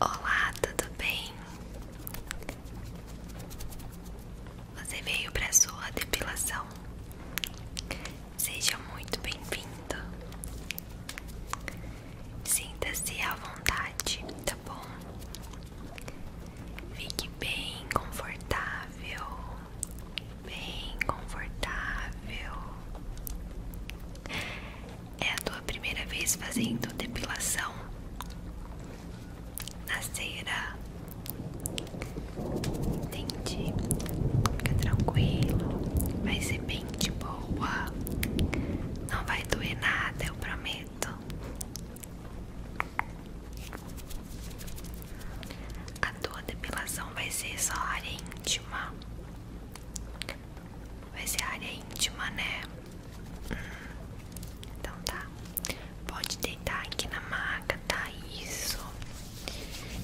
Olá, tudo bem? Você veio para sua depilação. Seja muito bem-vindo. Sinta-se à vontade, tá bom? Fique bem confortável, bem confortável. É a tua primeira vez fazendo depilação na cera? Entendi. Fica tranquilo. Vai ser bem de boa. Não vai doer nada, eu prometo. A tua depilação vai ser só área íntima. Vai ser área íntima, né? Hum. Então tá. Pode deitar aqui na maca, tá? Isso.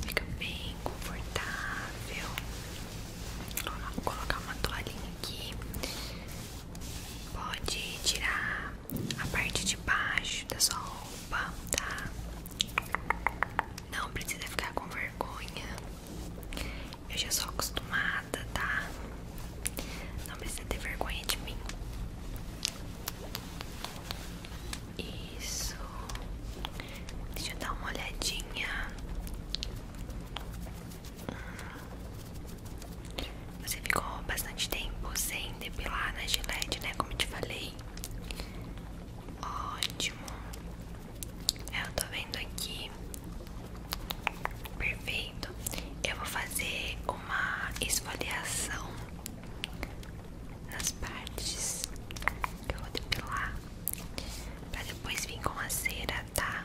Fica bem confortável. Vou colocar uma toalhinha aqui. Pode tirar a parte de baixo da sua roupa, tá? Não precisa ficar com vergonha. Eu já sou acostumada, tá? Não precisa ter vergonha de mim. Isso. Deixa eu dar uma olhadinha. Hum. Você ficou bastante tempo sem depilar na Gillette, né? Como eu te falei. Ótimo. Eu tô vendo aqui. Perfeito. Eu vou fazer uma esfoliação nas partes que eu vou depilar. Pra depois vir com a cera, tá?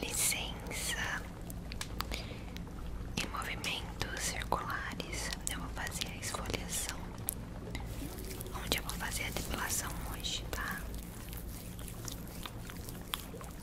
Licença e movimentos circulares. Eu vou fazer a esfoliação. Onde eu vou fazer a depilação hoje, tá?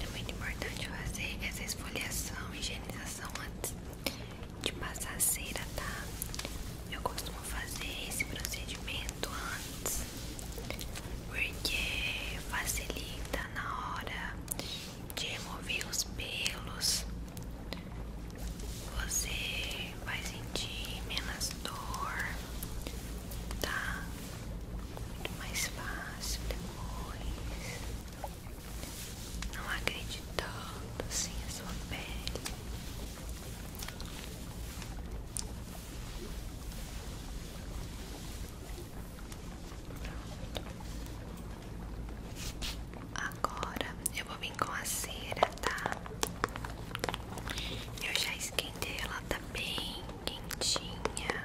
É muito importante fazer essa esfoliação e higienização antes de passar a cera, tá? Eu costumo fazer esse procedimento antes porque facilita na hora de remover os pelos. Você vai sentir menos dor, tá? muito mais fácil depois, não acreditando assim a sua pele. Pronto. Agora eu vou vir com a cera, tá? Eu já esquentei ela, tá? Tá bem quentinha.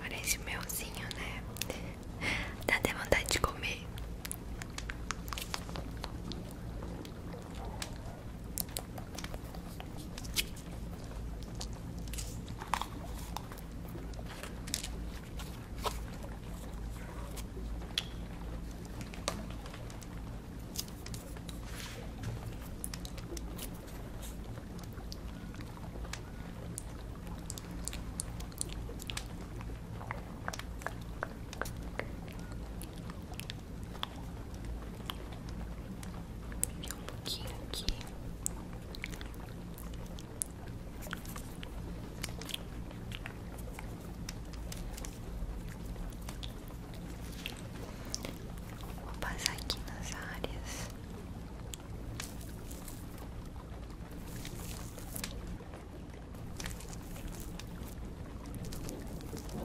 Parece melzinho, né? Dá até vontade de comer um pouquinho aqui. Vou Vou passar aqui nas áreas. Vou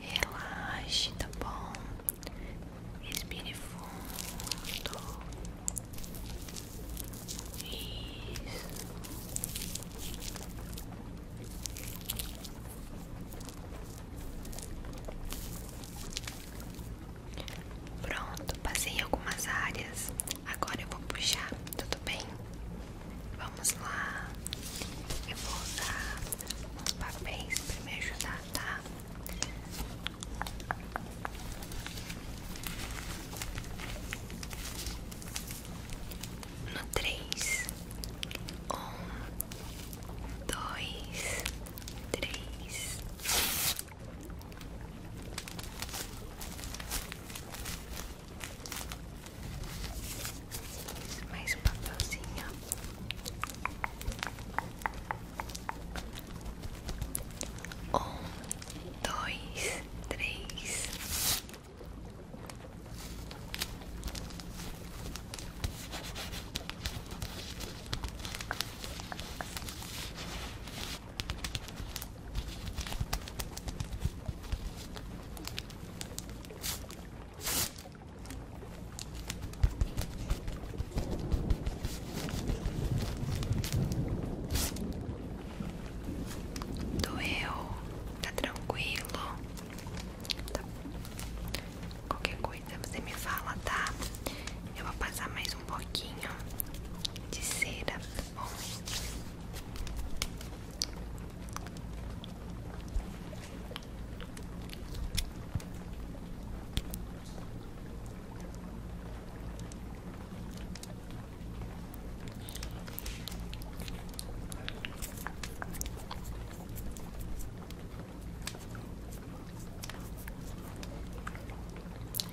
Relaxe, tá bom? Respire fundo. Isso. Pronto, passei algumas áreas. Agora eu vou puxar, tudo bem? Vamos lá. Eu vou usar os papéis para me ajudar, tá? no três, um, dois, três. Mais um papelzinho. Um, dois, três. Doeu, tá tranquilo. Tá. Qualquer coisa você me fala, tá? Eu vou passar mais um pouquinho de cera,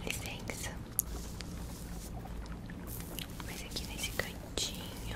Licença, mas aqui nesse cantinho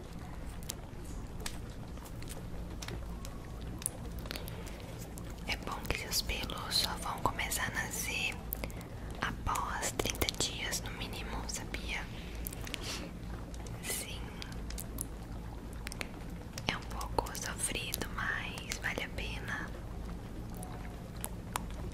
É bom que seus pelos só vão começar a nascer após 30 dias no mínimo, sabia? Sim. É um pouco sofrido, mas vale a pena.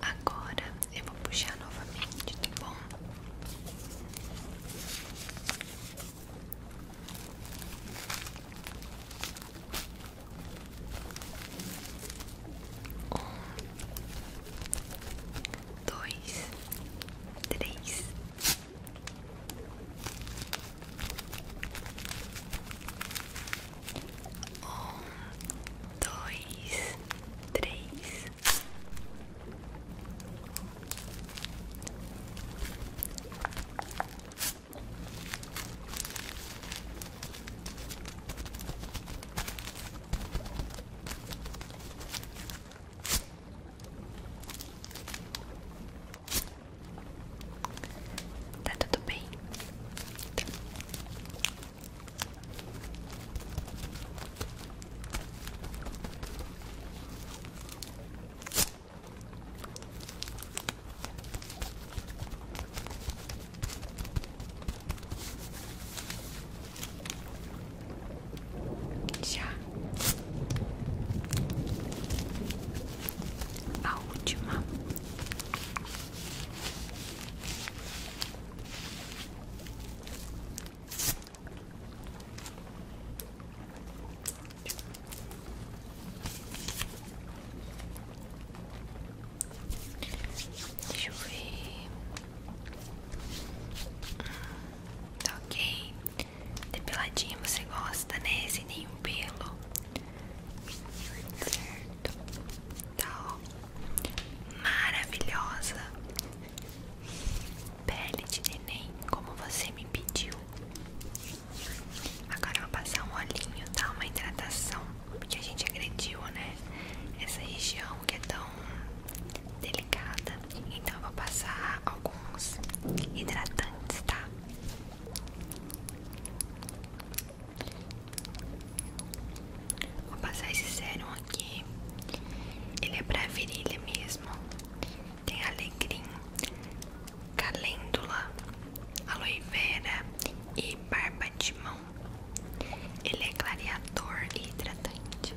Agora eu vou puxar novamente, tá bom? Um, dois, três. Um, dois, três. Tá tudo bem? Já a última Deixa eu ver. Hum, ok. Depiladinha você gosta, né? Sem nenhum pelo. Certo. Tá, ó. Maravilhosa. Pele de neném, como você me pediu. Agora eu vou passar um olhinho, tá? Uma hidratação. Porque a gente agrediu, né? Essa região que é tão delicada. Então eu vou passar alguns hidratantes, tá? Vou passar esse sérum aqui. Ele é para virilha mesmo. Tem alecrim, calêndula, aloe vera e barba de mão. Ele é clareador e hidratante.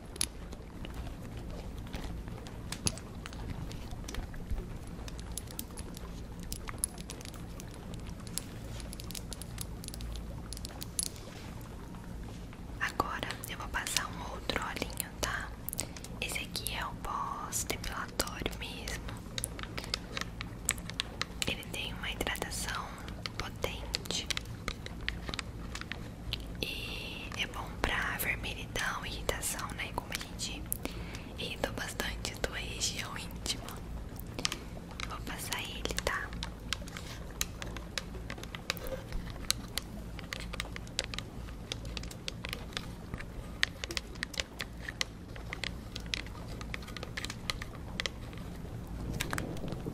Agora eu vou passar um outro olhinho, tá? Esse aqui é o pós depilatório mesmo. Ele tem uma hidratação potente e é bom pra vermelhidão, irritação, né? Como a gente irritou bastante a tua região íntima. Vou passar ele, tá?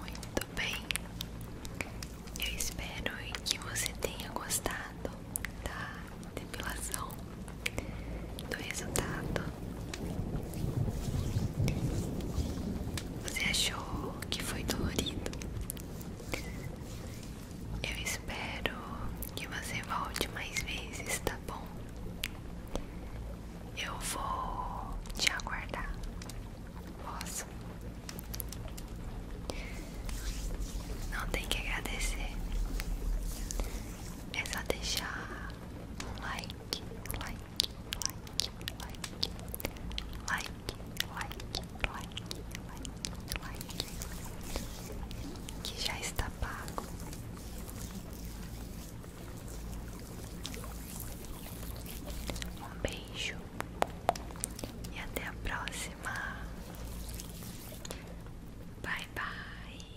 Muito bem, eu espero que você tenha gostado da depilação, do resultado você achou que foi dolorido? Eu espero que você volte mais vezes, tá bom? Eu vou te aguardar. Posso? Não tem que agradecer. É só deixar um like, like, like, like, like, like, like, like, like, que já está pago. Um beijo e até a próxima. Bye bye.